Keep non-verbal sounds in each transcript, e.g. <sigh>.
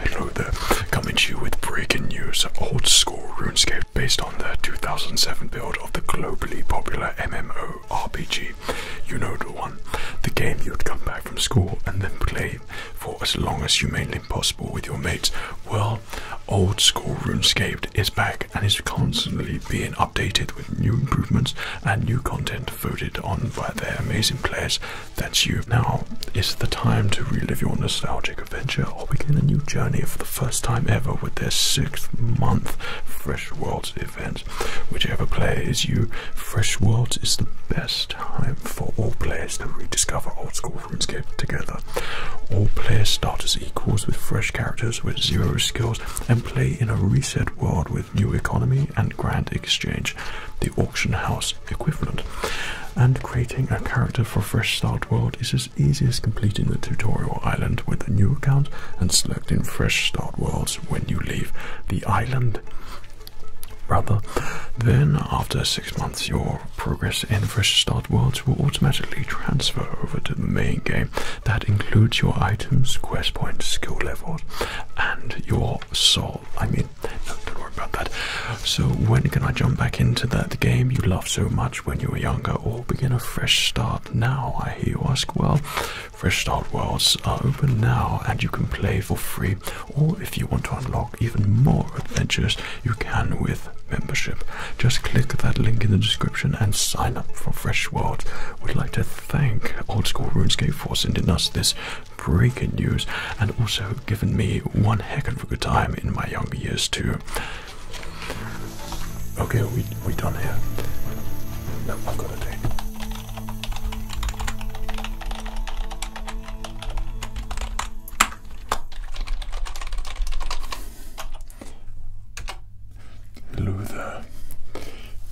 Hello there, coming to you with breaking news. Old School RuneScape based on the 2007 build of the globally popular MMORPG. You know the one. The game you'd come back from school and then play for as long as humanly possible with your mates. Well, old school RuneScaped is back and is constantly being updated with new improvements and new content voted on by their amazing players. That's you. Now is the time to relive your nostalgic adventure or begin a new journey for the first time ever with their sixth month Fresh Worlds event. Whichever player is you, Fresh Worlds is the best time for all players to rediscover old school RuneScape together. All players start as equals with fresh characters with zero skills and play in a reset world with new economy and grand exchange, the auction house equivalent. And creating a character for Fresh Start World is as easy as completing the tutorial island with a new account and selecting Fresh Start Worlds when you leave the island. Rather, then after six months, your progress in Fresh Start Worlds will automatically transfer over to the main game. That includes your items, quest points, skill levels, and your soul. I mean, no, don't worry about that. So, when can I jump back into that game you loved so much when you were younger, or begin a fresh start now? I hear you ask. Well, Fresh Start Worlds are open now, and you can play for free or if you want to unlock even more adventures, you can with membership. Just click that link in the description and sign up for Fresh World. We'd like to thank Old School RuneScape for sending us this breaking news and also giving me one heck of a good time in my younger years too. Okay, we we done here. No, I've got to take. Hello there.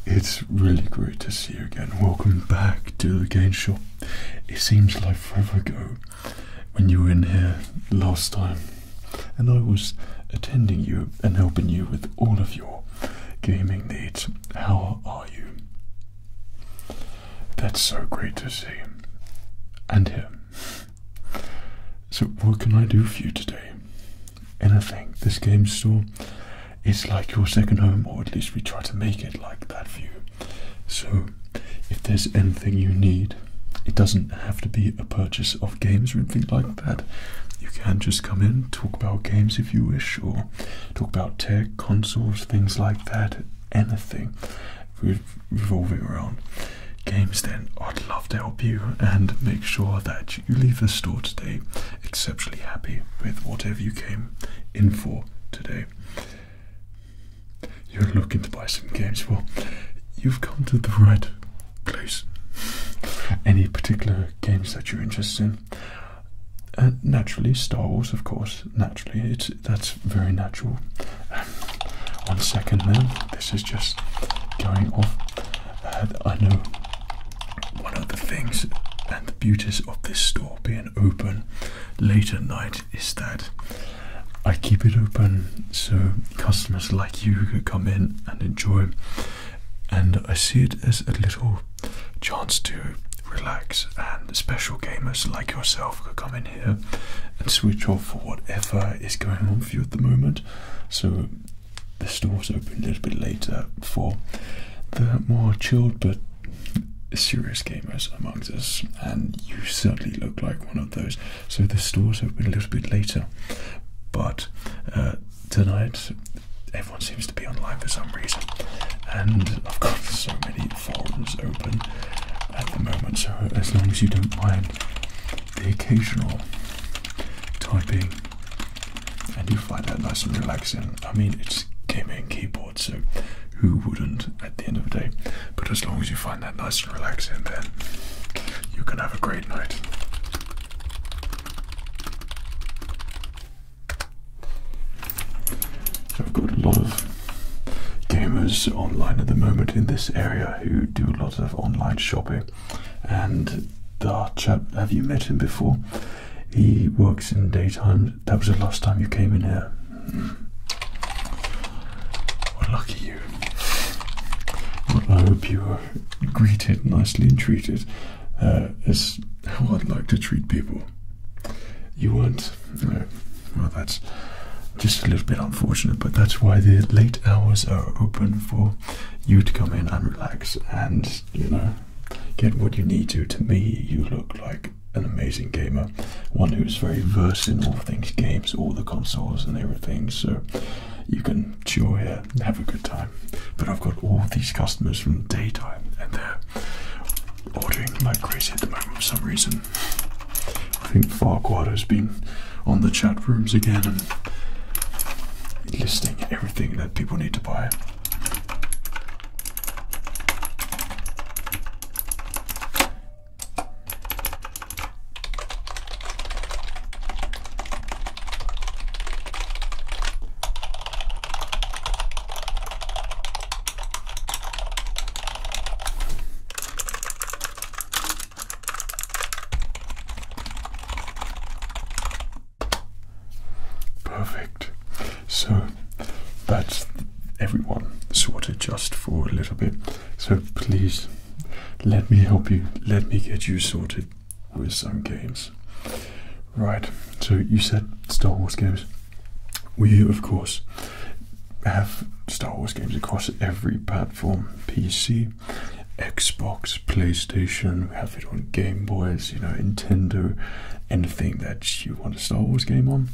It's really great to see you again. Welcome back to the game shop. It seems like forever ago when you were in here last time and I was attending you and helping you with all of your gaming needs. How are you? That's so great to see. And here. So, what can I do for you today? Anything. This game store is like your second home, or at least we try to make it like that for you. So, if there's anything you need, it doesn't have to be a purchase of games or anything like that. You can just come in, talk about games if you wish, or Talk about tech, consoles, things like that, anything revolving around games, then I'd love to help you and make sure that you leave the store today exceptionally happy with whatever you came in for today. You're looking to buy some games. Well, you've come to the right place. Any particular games that you're interested in? Uh, naturally, Star Wars, of course, naturally, it's that's very natural. Um, one second then, this is just going off. Uh, I know one of the things and the beauties of this store being open late at night is that I keep it open so customers like you could come in and enjoy. And I see it as a little chance to relax, and special gamers like yourself could come in here and switch off for whatever is going on for you at the moment. So the store's open a little bit later for the more chilled but serious gamers amongst us, and you certainly look like one of those. So the store's open a little bit later, but uh, tonight everyone seems to be online for some reason, and I've got so many forums open at the moment. So as long as you don't mind the occasional typing, and you find that nice and relaxing, I mean it's gaming keyboard, so who wouldn't at the end of the day? But as long as you find that nice and relaxing, then you can have a great night. So I've got a lot of gamers online at the moment in this area who do a lot of online shopping. And the chap, have you met him before? He works in daytime. That was the last time you came in here. Hmm. lucky you. I hope you were greeted nicely and treated uh, how I'd like to treat people. You will not Well, that's just a little bit unfortunate, but that's why the late hours are open for you to come in and relax and, you know, get what you need to. To me, you look like an amazing gamer, one who's very versed in all things games, all the consoles and everything, so you can chill here, and have a good time but I've got all these customers from daytime and they're ordering like crazy at the moment for some reason. I think Farquhar has been on the chat rooms again and listing everything that people need to buy. Perfect. So that's everyone sorted just for a little bit. So please let me help you. Let me get you sorted with some games. Right, so you said Star Wars games. We, of course, have Star Wars games across every platform PC, Xbox, PlayStation, we have it on Game Boys, you know, Nintendo, anything that you want a Star Wars game on.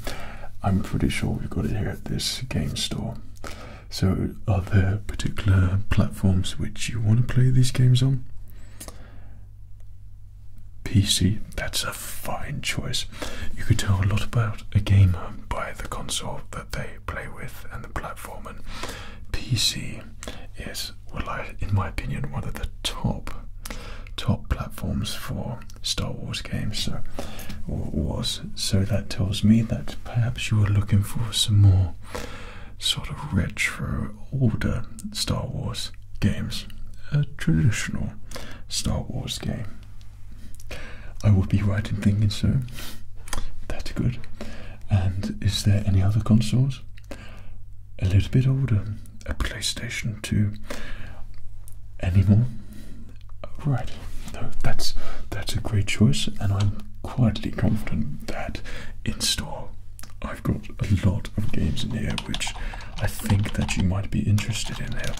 I'm pretty sure we've got it here at this game store. So, are there particular platforms which you want to play these games on? PC, that's a fine choice. You could tell a lot about a gamer by the console that they play with and the platform. And PC is, well, I, in my opinion, one of the top top platforms for Star Wars games. So, was so that tells me that perhaps you were looking for some more sort of retro older Star Wars games, a traditional Star Wars game. I would be right in thinking so. That's good. And is there any other consoles? A little bit older, a PlayStation 2. Any more? Right. No, that's that's a great choice, and I'm quietly confident that in store I've got a lot of games in here which I think that you might be interested in here.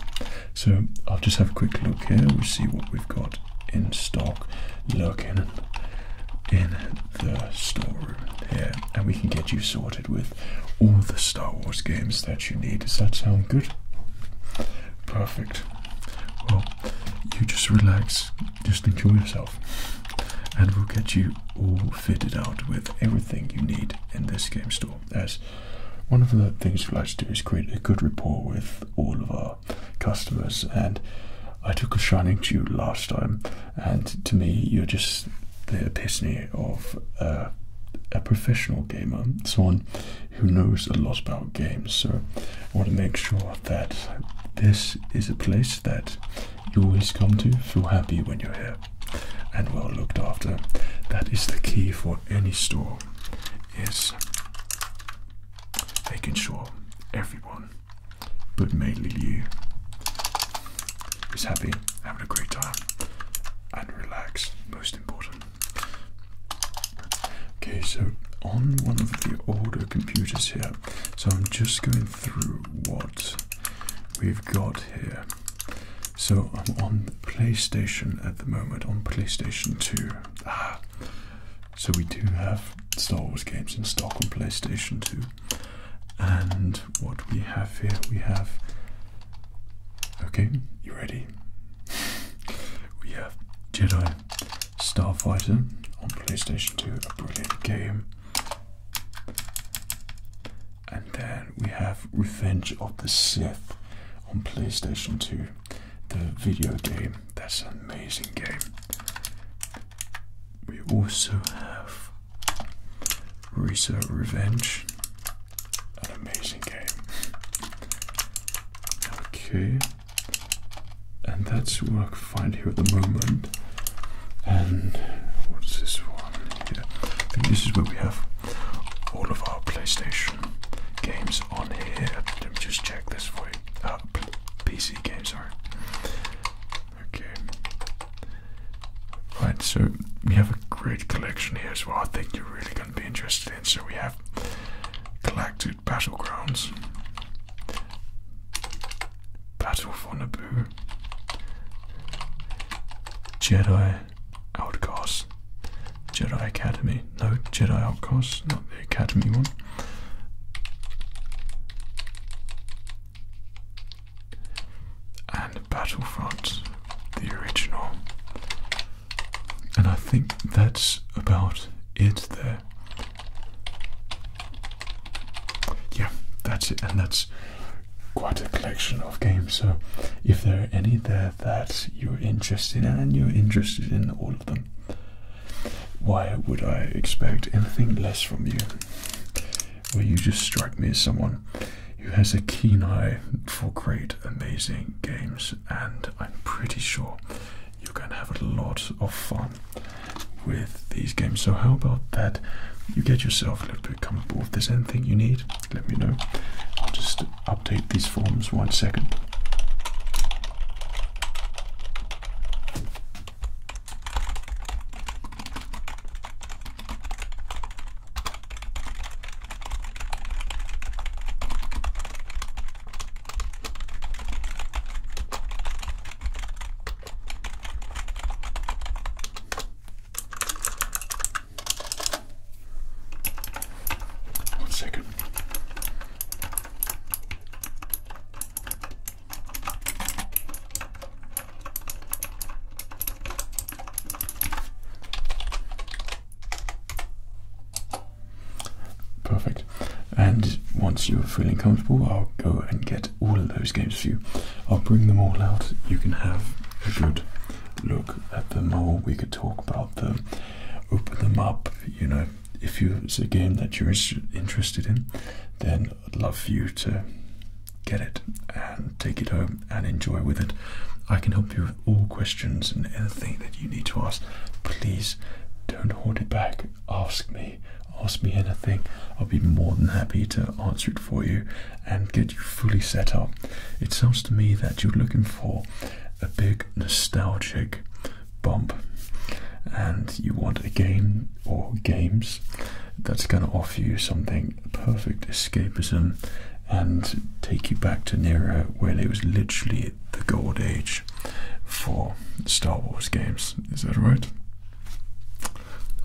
So I'll just have a quick look here. we see what we've got in stock lurking in the storeroom here. And we can get you sorted with all the Star Wars games that you need. Does that sound good? Perfect. Well, you just relax, just enjoy yourself, and we'll get you all fitted out with everything you need in this game store. As one of the things we like to do is create a good rapport with all of our customers. And I took a shining to you last time, and to me, you're just the epitome of a professional gamer, someone who knows a lot about games. So I want to make sure that this is a place that you always come to feel happy when you're here and well looked after. That is the key for any store is making sure everyone, but mainly you, is happy, having a great time and relax, most important. Okay, so on one of the older computers here, so I'm just going through what we've got here. So I'm on PlayStation at the moment, on PlayStation 2. Ah. So we do have Star Wars games in stock on PlayStation 2. And what we have here, we have. Okay, you ready? <laughs> we have Jedi Starfighter on PlayStation 2, a brilliant game. And then we have Revenge of the Sith on PlayStation 2, the video game. That's an amazing game. We also have Risa Revenge, an amazing game. Okay, and that's work find here at the moment. And what's this one here? I think this is where we have all of our PlayStation games on here. Let me just check this for you. Uh, PC games, sorry. Okay. Right, so we have a great collection here as well. I think you're really going to be interested in. So we have Galactic Battlegrounds, Battlefront: Naboo. Jedi Outcast, Jedi Academy. No, Jedi Outcast, not the Academy one. And Battlefront, the original. And I think that's about it there yeah, that's it, and that's quite a collection of games. So, if there are any there that you're interested in, and you're interested in all of them, why would I expect anything less from you? Well, you just strike me as someone who has a keen eye for great, amazing games, and I'm pretty sure you're going to have a lot of fun with these games. So how about that? You get yourself a little bit comfortable. If there's anything you need, let me know. I'll just update these forms one second. One second. Perfect. And once you're feeling comfortable, I'll go and get all of those games for you. I'll bring them all out. You can have a good look at them all. We could talk about them, open them up. You know, if it's a game that you're interested in, then I'd love for you to get it and take it home and enjoy with it. I can help you with all questions and anything that you need to ask. Please don't hold it back. Ask me ask me anything, I'll be more than happy to answer it for you and get you fully set up. It sounds to me that you're looking for a big nostalgic bump and you want a game or games that's going to offer you something perfect escapism and take you back to an era when it was literally the gold age for Star Wars games. Is that right?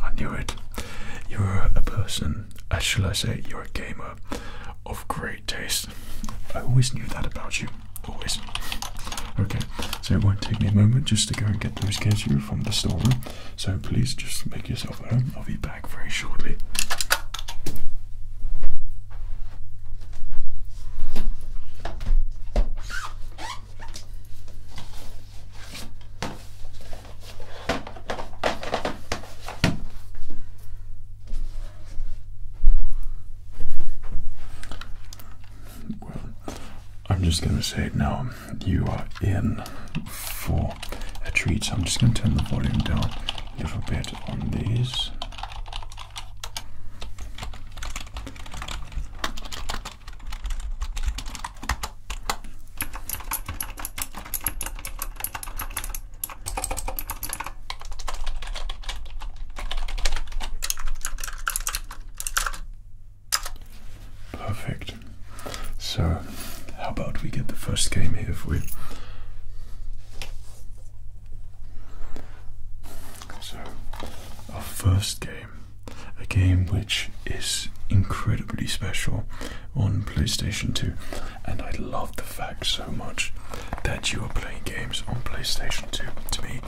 I knew it. You're a person, as uh, shall I say, you're a gamer of great taste. I always knew that about you. Always. Okay, so it won't take me a moment just to go and get those keju from the store. So please just make yourself at home. I'll be back very shortly. I'm just going to say no, you are in for a treat. So I'm just going to turn the volume down a little bit on these. Perfect. So, how about we get the first game here for you? So, our first game a game which is incredibly special on PlayStation 2, and I love the fact so much that you are playing games on PlayStation 2. To me,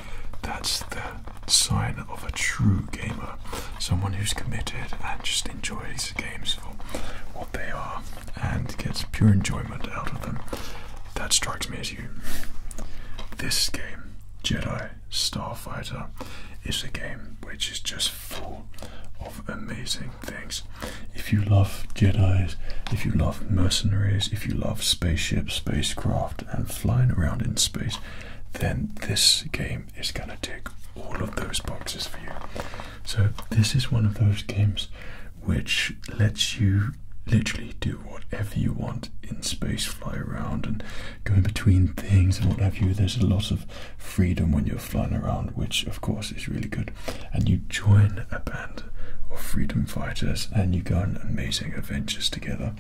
that's the sign of a true gamer, someone who's committed and just enjoys games for what they are and gets pure enjoyment out of them. That strikes me as you. This game, Jedi Starfighter is a game which is just full of amazing things. If you love Jedi, if you love mercenaries, if you love spaceships, spacecraft, and flying around in space, then this game is going to tick all of those boxes for you. So, this is one of those games which lets you literally do whatever you want in space, fly around and going between things and what have you. There's a lot of freedom when you're flying around, which of course is really good. And you join a band of freedom fighters and you go on amazing adventures together.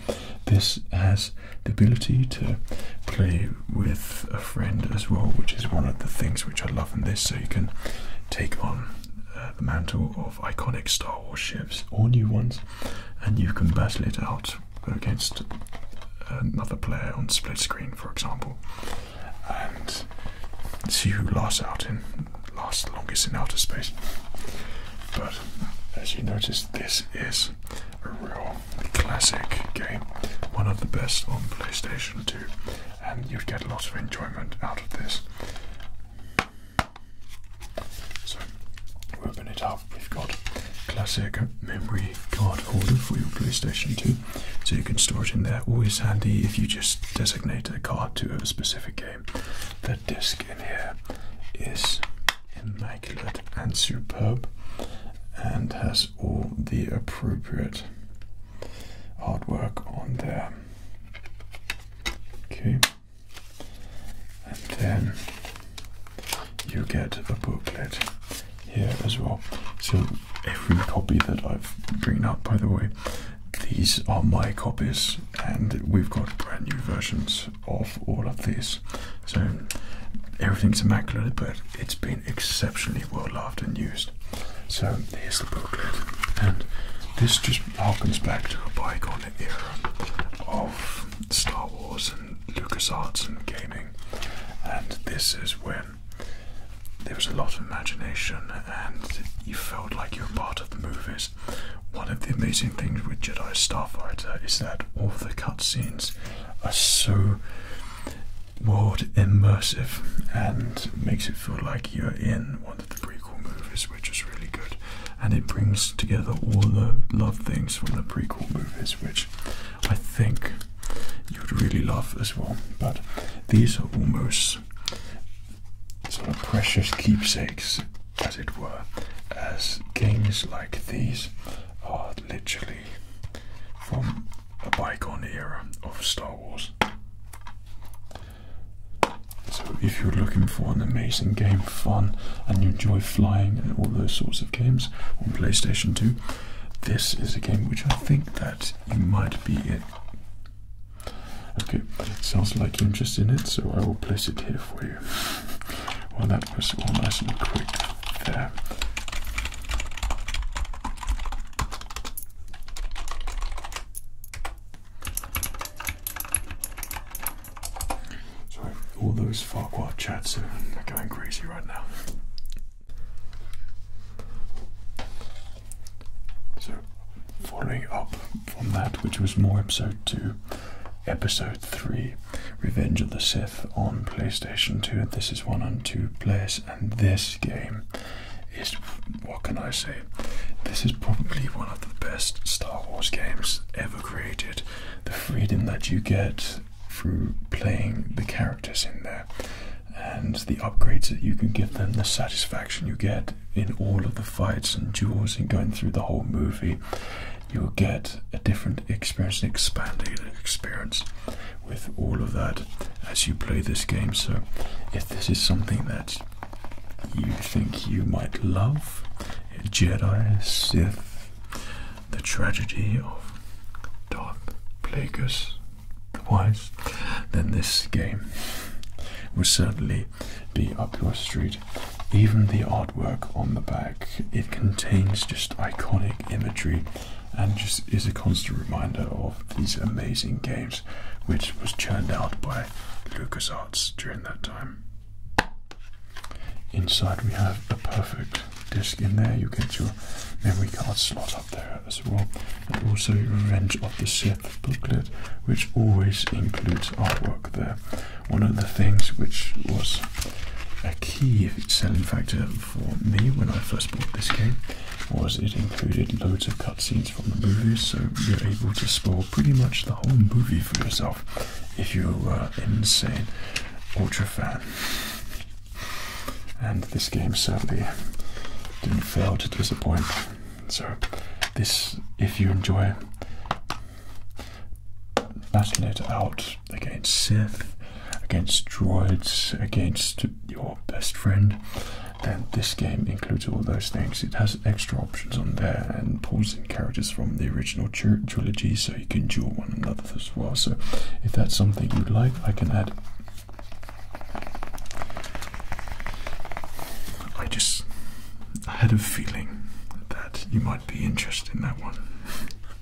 This has the ability to play with a friend as well, which is one of the things which I love in this. So you can take on uh, the mantle of iconic Star Wars ships or new ones, and you can battle it out against uh, another player on split screen, for example, and see who lasts out in lasts longest in outer space. But as you notice, this is a real classic game, one of the best on PlayStation 2, and you'd get a lot of enjoyment out of this. So, we open it up. We've got classic memory card holder for your PlayStation 2, so you can store it in there. Always handy if you just designate a card to a specific game. The disc in here is immaculate and superb and has all the appropriate artwork on there. Okay and then you get a booklet here as well. So every copy that I've bring up, by the way, these are my copies, and we've got brand new versions of all of these. So everything's immaculate, but it's been exceptionally well loved and used. So here's the booklet, and this just harkens back to a bygone era of Star Wars and Lucas Arts and gaming, and this is when there was a lot of imagination and you felt like you were part of the movies. One of the amazing things with Jedi Starfighter is that all the cutscenes are so world immersive and makes it feel like you're in one of the prequel movies, which is really good and it brings together all the love things from the prequel movies, which I think you'd really love as well. But these are almost sort of precious keepsakes, as it were, as games like these are literally from a bygone era of Star Wars if you're looking for an amazing game, fun, and you enjoy flying and all those sorts of games on PlayStation 2, this is a game which I think that you might be in. Okay, it sounds like you're interested in it, so I will place it here for you. Well, that was all nice and quick there. So all those Farquhar chats are going crazy right now. So following up from that, which was more episode two, episode three, Revenge of the Sith on PlayStation 2. This is one and two players, and this game is what can I say? This is probably one of the best Star Wars games ever created the freedom that you get through playing the characters in there and the upgrades that you can give them, the satisfaction you get in all of the fights and duels and going through the whole movie. You'll get a different experience, an expanded experience with all of that as you play this game. So, if this is something that you think you might love Jedi, Sith, the tragedy of Darth Plagueis the Wise, then this game will certainly be up your street. Even the artwork on the back, it contains just iconic imagery and just is a constant reminder of these amazing games which was churned out by LucasArts during that time. Inside we have a perfect disc in there. You get your memory card slot up there as well. And also range of the Sith booklet, which always includes artwork there. One of the things which was a key selling factor for me when I first bought this game was it included loads of cutscenes from the movies, so you're able to spoil pretty much the whole movie for yourself if you were insane Ultra fan. And this game certainly didn't fail to disappoint. So, this, if you enjoy battling it out against Sith, against droids, against your best friend, then this game includes all those things. It has extra options on there, and characters from the original tr trilogy so you can duel one another as well. So, if that's something you'd like, I can add. I just had a feeling that you might be interested in that one.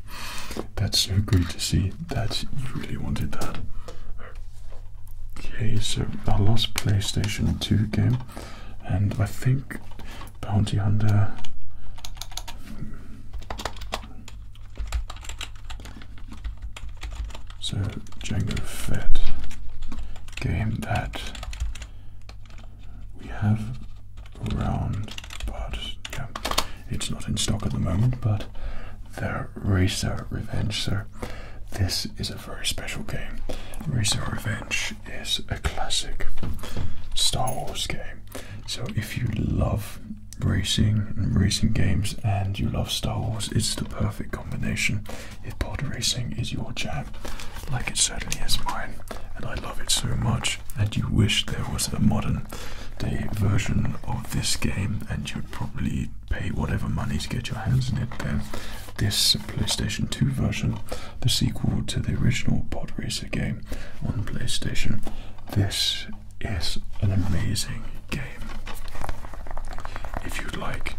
<laughs> That's so great to see that you really wanted that. Okay, so our last PlayStation 2 game, and I think bounty hunter. So Django Fett game that we have around, but it's not in stock at the moment. But the Racer Revenge, so this is a very special game. Racer Revenge which is a classic Star Wars game. So if you love racing and racing games and you love Star Wars, it's the perfect combination. If pod racing is your jam, like it certainly is mine, and I love it so much, and you wish there was a modern day version of this game, and you'd probably pay whatever money to get your hands in it, then this PlayStation 2 version, the sequel to the original Pod Racer game on PlayStation. This is an amazing game. If you'd like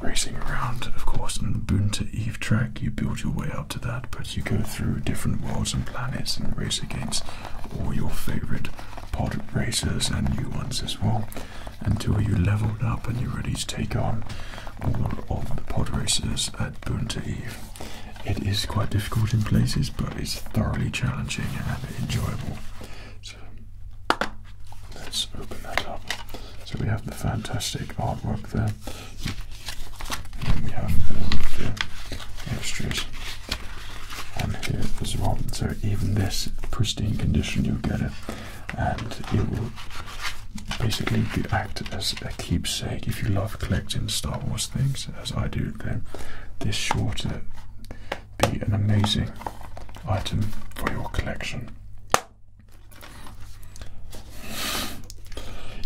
racing around, of course, on the Bunta Eve track, you build your way up to that, but you go through different worlds and planets and race against all your favorite pod racers and new ones as well until you level up and you're ready to take on all of the pod races at Bunta Eve. It is quite difficult in places, but it's thoroughly challenging and enjoyable. So let's open that up. So we have the fantastic artwork there. And we have the extras on here as well. So even this pristine condition, you'll get it and it will basically act as a keepsake. If you love collecting Star Wars things, as I do, then this sure to uh, be an amazing item for your collection.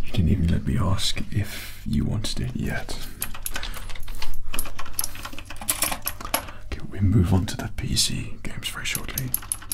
You didn't even let me ask if you wanted it yet. Okay, we move on to the PC games very shortly.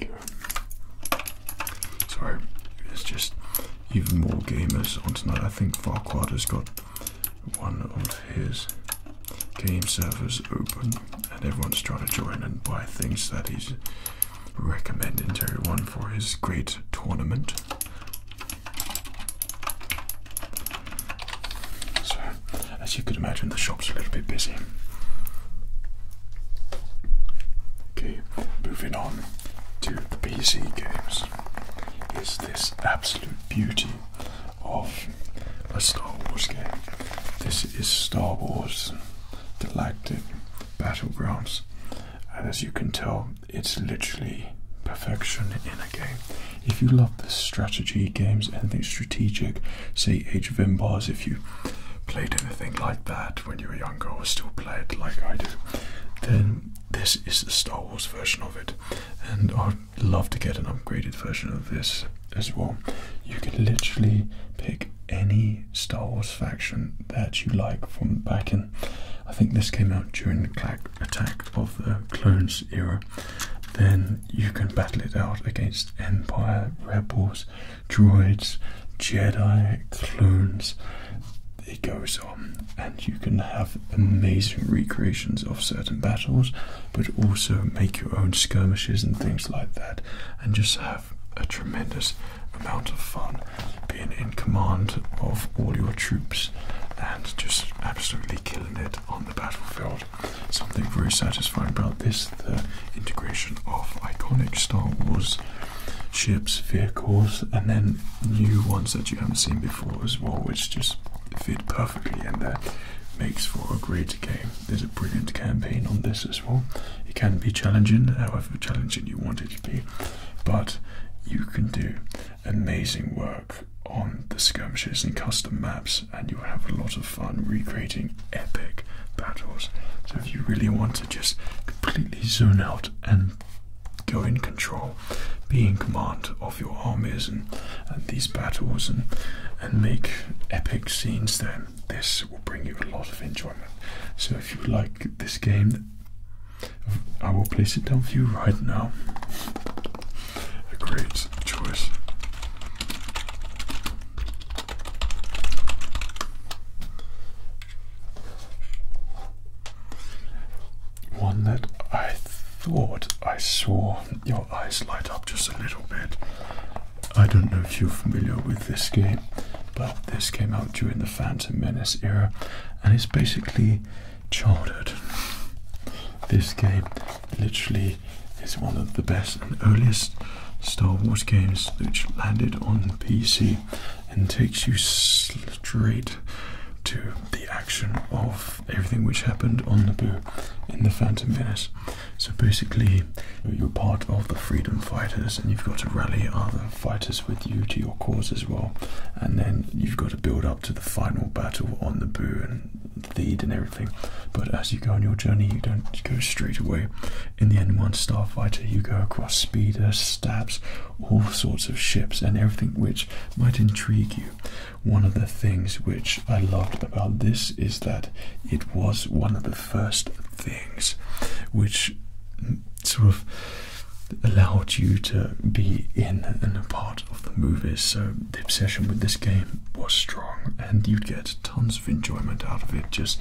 There we go. Sorry, it's just even more gamers on tonight. I think Farquhar has got one of his game servers open and everyone's trying to join and buy things that he's recommending to everyone for his great tournament. So, as you could imagine, the shop's a little bit busy. Okay, moving on to the PC games. Is this absolute beauty of a Star Wars game? This is Star Wars Galactic Battlegrounds, and as you can tell, it's literally perfection in a game. If you love the strategy games, anything strategic, say Age of Empires, if you played anything like that when you were younger or still play it like I do, then this is the Star Wars version of it. And I'd love to get an upgraded version of this as well. You can literally pick any Star Wars faction that you like from back in. I think this came out during the attack of the Clones era. Then you can battle it out against Empire, Rebels, droids, Jedi, clones. It goes on, and you can have amazing recreations of certain battles, but also make your own skirmishes and things like that, and just have a tremendous amount of fun being in command of all your troops and just absolutely killing it on the battlefield. Something very satisfying about this the integration of iconic Star Wars ships, vehicles, and then new ones that you haven't seen before as well, which just fit perfectly and that Makes for a great game. There's a brilliant campaign on this as well. It can be challenging, however challenging you want it to be, but you can do amazing work on the skirmishes and custom maps, and you'll have a lot of fun recreating epic battles. So if you really want to just completely zone out and go in control, be in command of your armies and, and these battles and, and make epic scenes, then this will bring you a lot of enjoyment. So if you like this game, I will place it down for you right now. A great choice. One that I thought I saw your eyes light up just a little bit. I don't know if you're familiar with this game, but this came out during the Phantom Menace era and it's basically chartered. This game literally is one of the best and earliest Star Wars games which landed on PC and takes you straight to the action of everything which happened on Naboo in the Phantom Menace. So basically, you're part of the freedom fighters, and you've got to rally other fighters with you to your cause as well. And then you've got to build up to the final battle on Naboo and theed and everything. But as you go on your journey, you don't go straight away in the N1 Starfighter, you go across speeders, stabs, all sorts of ships, and everything which might intrigue you. One of the things which I loved about this is that it was one of the first things which sort of allowed you to be in and a part of the movies. So the obsession with this game was strong, and you'd get tons of enjoyment out of it just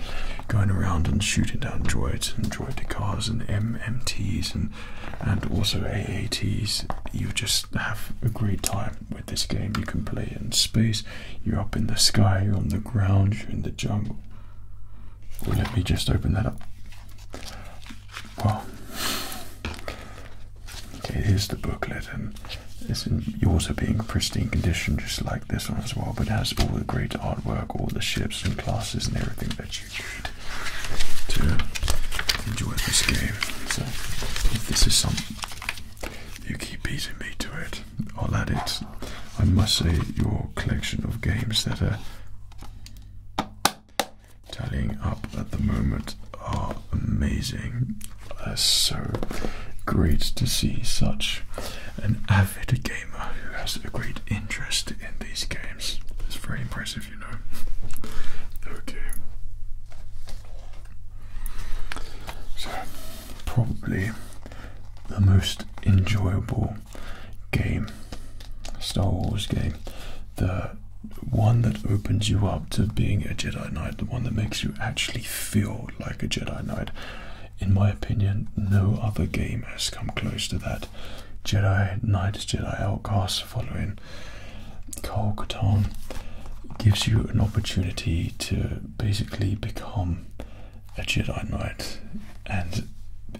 going around and shooting down droids and droid decars and MMTs and and also AATs. You just have a great time with this game. You can play in space, you're up in the sky, you're on the ground, you're in the jungle. let me just open that up. Well, okay, here's the booklet, and yours are being pristine condition, just like this one as well, but it has all the great artwork, all the ships and classes and everything that you need to enjoy this game. So if this is something you keep beating me to it, I'll add it. I must say your collection of games that are tallying up at the moment are amazing. Uh, so great to see such an avid gamer who has a great interest in these games. It's very impressive, you know. Okay. So, probably the most enjoyable game, Star Wars game, the one that opens you up to being a Jedi Knight, the one that makes you actually feel like a Jedi Knight in my opinion, no other game has come close to that. Jedi Knights Jedi Outcast following Carl Catan gives you an opportunity to basically become a Jedi Knight and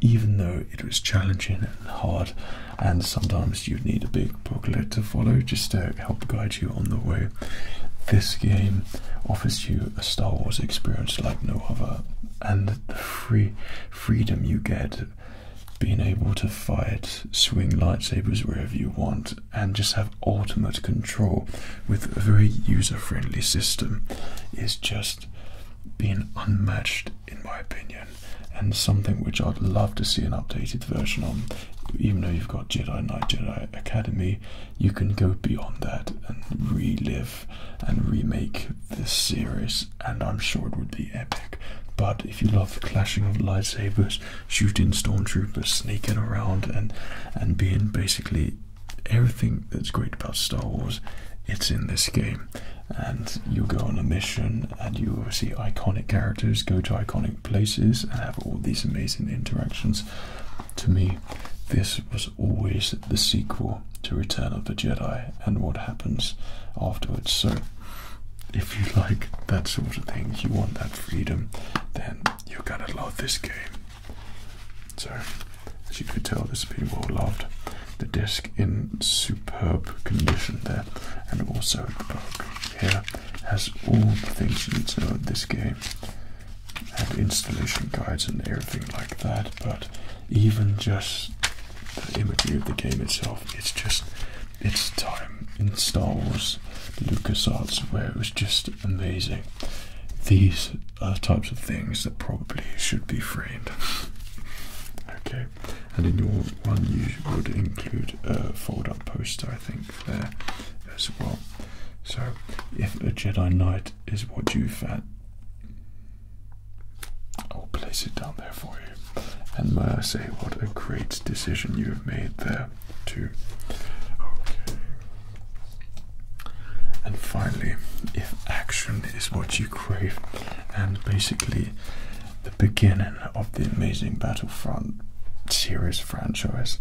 even though it was challenging and hard and sometimes you would need a big booklet to follow just to help guide you on the way this game offers you a Star Wars experience like no other, and the free freedom you get being able to fight, swing lightsabers wherever you want, and just have ultimate control with a very user friendly system is just being unmatched, in my opinion, and something which I'd love to see an updated version on. Even though you've got Jedi Knight, Jedi Academy, you can go beyond that and relive and remake this series, and I'm sure it would be epic. But if you love the clashing of lightsabers, shooting stormtroopers, sneaking around, and and being basically everything that's great about Star Wars, it's in this game. And you go on a mission, and you see iconic characters go to iconic places and have all these amazing interactions to me, this was always the sequel to Return of the Jedi and what happens afterwards. So, if you like that sort of thing, you want that freedom, then you're gonna love this game. So, as you could tell, this has loved. The disc in superb condition there, and also the book here has all the things you need to know in this game have installation guides and everything like that, but even just the imagery of the game itself, it's just its time in Star Wars LucasArts where it was just amazing. These are types of things that probably should be framed. <laughs> okay, and in your one you would include a fold-up poster, I think, there as well. So, if a Jedi Knight is what you fed. I'll place it down there for you. And may I say, what a great decision you have made there, too. And finally, if action is what you crave, and basically the beginning of the amazing Battlefront series franchise,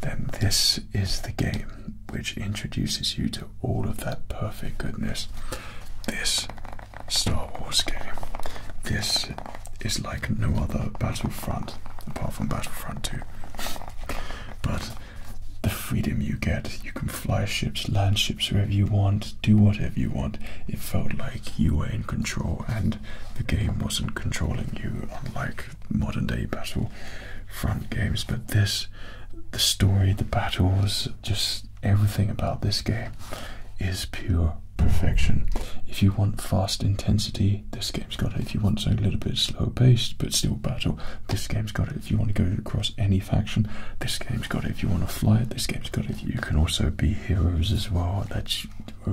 then this is the game which introduces you to all of that perfect goodness. This Star Wars game. This is like no other Battlefront, apart from Battlefront 2. But the freedom you get, you can fly ships, land ships wherever you want, do whatever you want. It felt like you were in control and the game wasn't controlling you, unlike modern day battle front games, but this, the story, the battles, just everything about this game is pure perfection. If you want fast intensity, this game's got it. If you want something a little bit slow paced but still battle, this game's got it. If you want to go across any faction, this game's got it. If you want to fly it, this game's got it. You can also be heroes as well. That's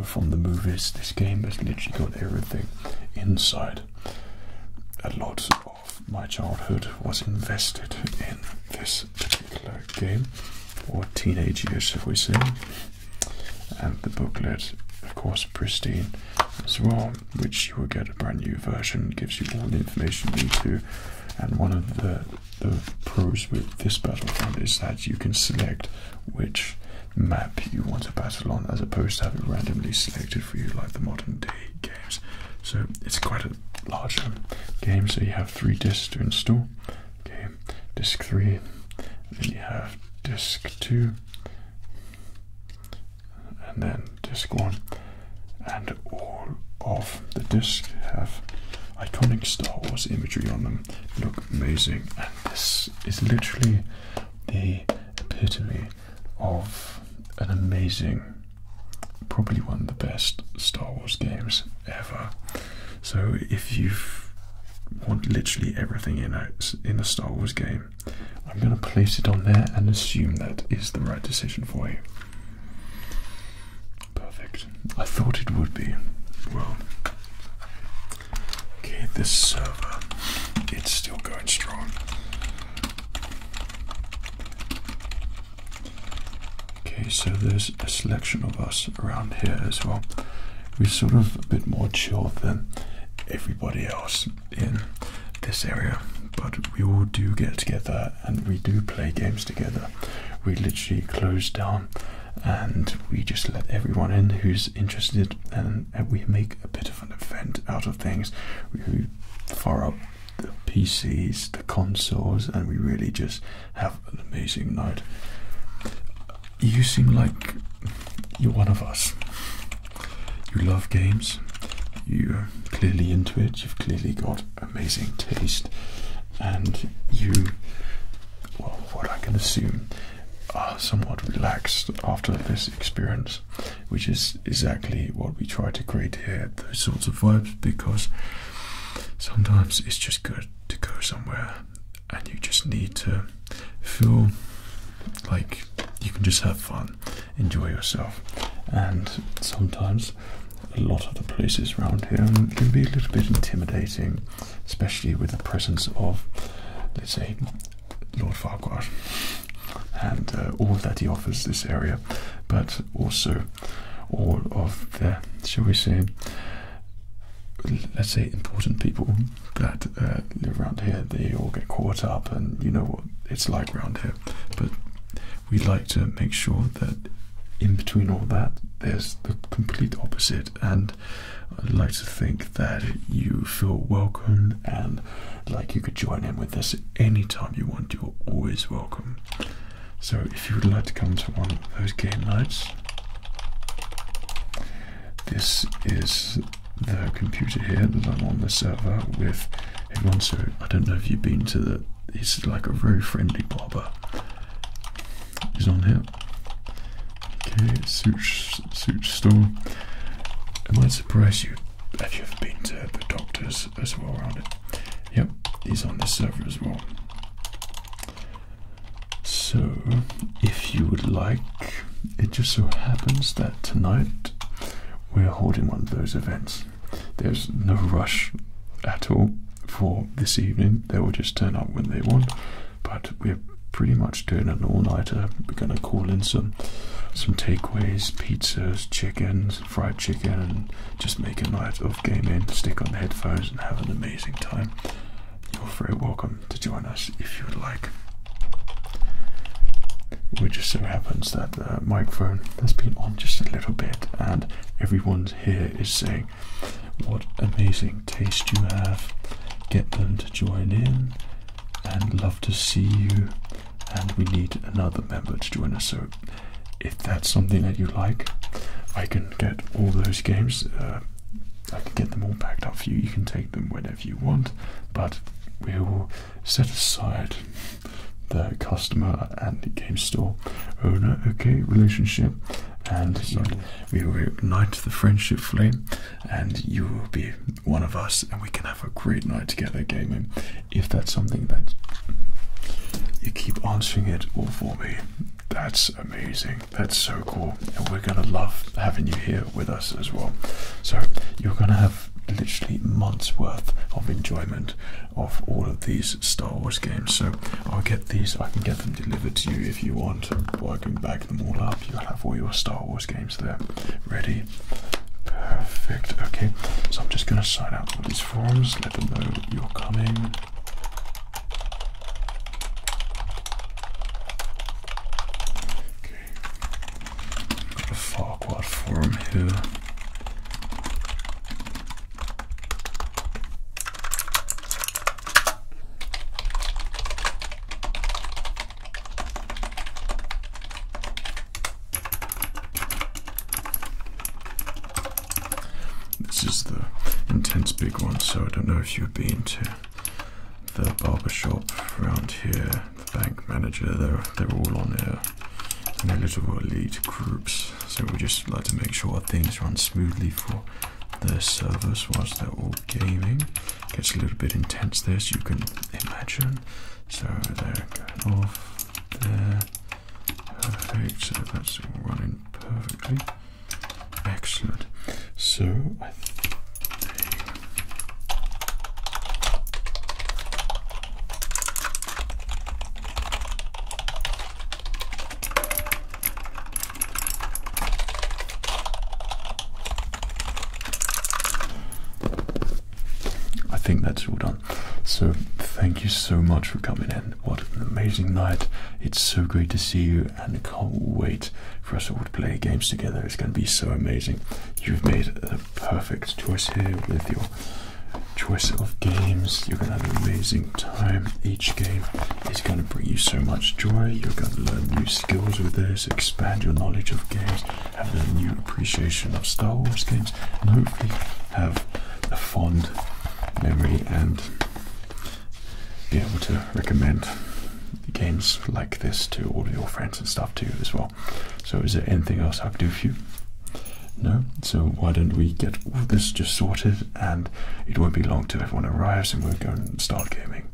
from the movies. This game has literally got everything inside. A lot of my childhood was invested in this particular game, or teenage years, if we say. And the booklet, of course, pristine as well, which you will get a brand new version, gives you all the information you need to. And one of the, the pros with this Battlefront is that you can select which map you want to battle on as opposed to having randomly selected for you like the modern games. So it's quite a large um, game. So you have three discs to install. Okay, disc three. Then you have disc two, and then disc one, and all of the discs have iconic Star Wars imagery on them. Look amazing, and this is literally the epitome of an amazing, probably one of the best Star Wars games ever. So if you want literally everything in a, in a Star Wars game, I'm going to place it on there and assume that is the right decision for you. Perfect. I thought it would be. Well, okay, this server, it's still going strong. Okay, so there's a selection of us around here as well. We're sort of a bit more chilled than everybody else in this area, but we all do get together and we do play games together. We literally close down and we just let everyone in who's interested and we make a bit of. An event out of things. We fire up the PCs, the consoles, and we really just have an amazing night. You seem like you're one of us. You love games, you're clearly into it, you've clearly got amazing taste, and you, well, what I can assume, are somewhat relaxed after this experience which is exactly what we try to create here those sorts of vibes because sometimes it's just good to go somewhere and you just need to feel like you can just have fun, enjoy yourself, and sometimes a lot of the places around here can be a little bit intimidating, especially with the presence of, let's say, Lord Farquhar and uh, all that he offers this area, but also all of the, shall we say, let's say important people that uh, live around here. They all get caught up, and you know what it's like around here. But we would like to make sure that in between all that, there's the complete opposite, and I'd like to think that you feel welcome and like you could join in with us anytime you want. You're always welcome. So if you would like to come to one of those game nights, this is the computer here that I'm on the server with everyone. So I don't know if you've been to the. He's like a very friendly barber. He's on here. Okay, suits suit store. It might surprise you if you've been to the doctors as well around it. Yep, he's on the server as well. So, if you would like, it just so happens that tonight we're holding one of those events. There's no rush at all for this evening. They will just turn up when they want, but we're pretty much doing an all-nighter. We're going to call in some some takeaways, pizzas, chickens, fried chicken, and just make a night of gaming. Stick on the headphones and have an amazing time. You're very welcome to join us if you would like. It just so happens that the uh, microphone has been on just a little bit, and everyone here is saying, "What amazing taste you have!" Get them to join in and love to see you. And we need another member to join us. So, if that's something that you like, I can get all those games. Uh, I can get them all packed up for you. You can take them whenever you want, but we will set aside the customer and the game store owner, okay, relationship, and we will ignite the friendship flame and you will be one of us, and we can have a great night together gaming. If that's something that you keep answering it all for me, that's amazing. That's so cool, and we're gonna love having you here with us as well. So you're gonna have literally months worth of enjoyment of all of these Star Wars games. So I'll get these. I can get them delivered to you if you want, Working back them all up. You'll have all your Star Wars games there. Ready? Perfect. Okay, so I'm just going to sign out all these forums. let them know you're coming. Okay, got a Farquad here. This is the intense big one, so I don't know if you've been to the barber shop around here, the bank manager, they're, they're all on there in a little elite groups. So we just like to make sure things run smoothly for their service whilst they're all gaming gets a little bit intense there, so you can imagine. So they're going off there. Perfect. So that's running perfectly. Excellent. So I think I think that's all done. So thank you so much for coming in. What an amazing night. It's so great to see you and I can't wait for us all to play games together. It's going to be so amazing. You've made the perfect choice here with your choice of games. You're going to have an amazing time. Each game is going to bring you so much joy. You're going to learn new skills with it expand your knowledge of games, have a new appreciation of Star Wars games, and hopefully have a fond memory and be able to recommend games like this to all of your friends and stuff too as well. So is there anything else I could do for you? No? So why don't we get all this just sorted and it won't be long till everyone arrives and we are going to start gaming.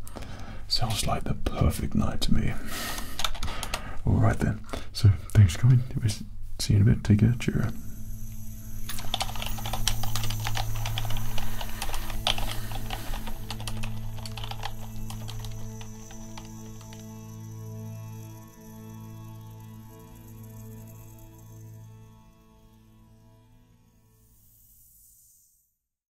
Sounds like the perfect night to me. Alright then. So thanks for coming. We'll see you in a bit. Take care. Cheerio.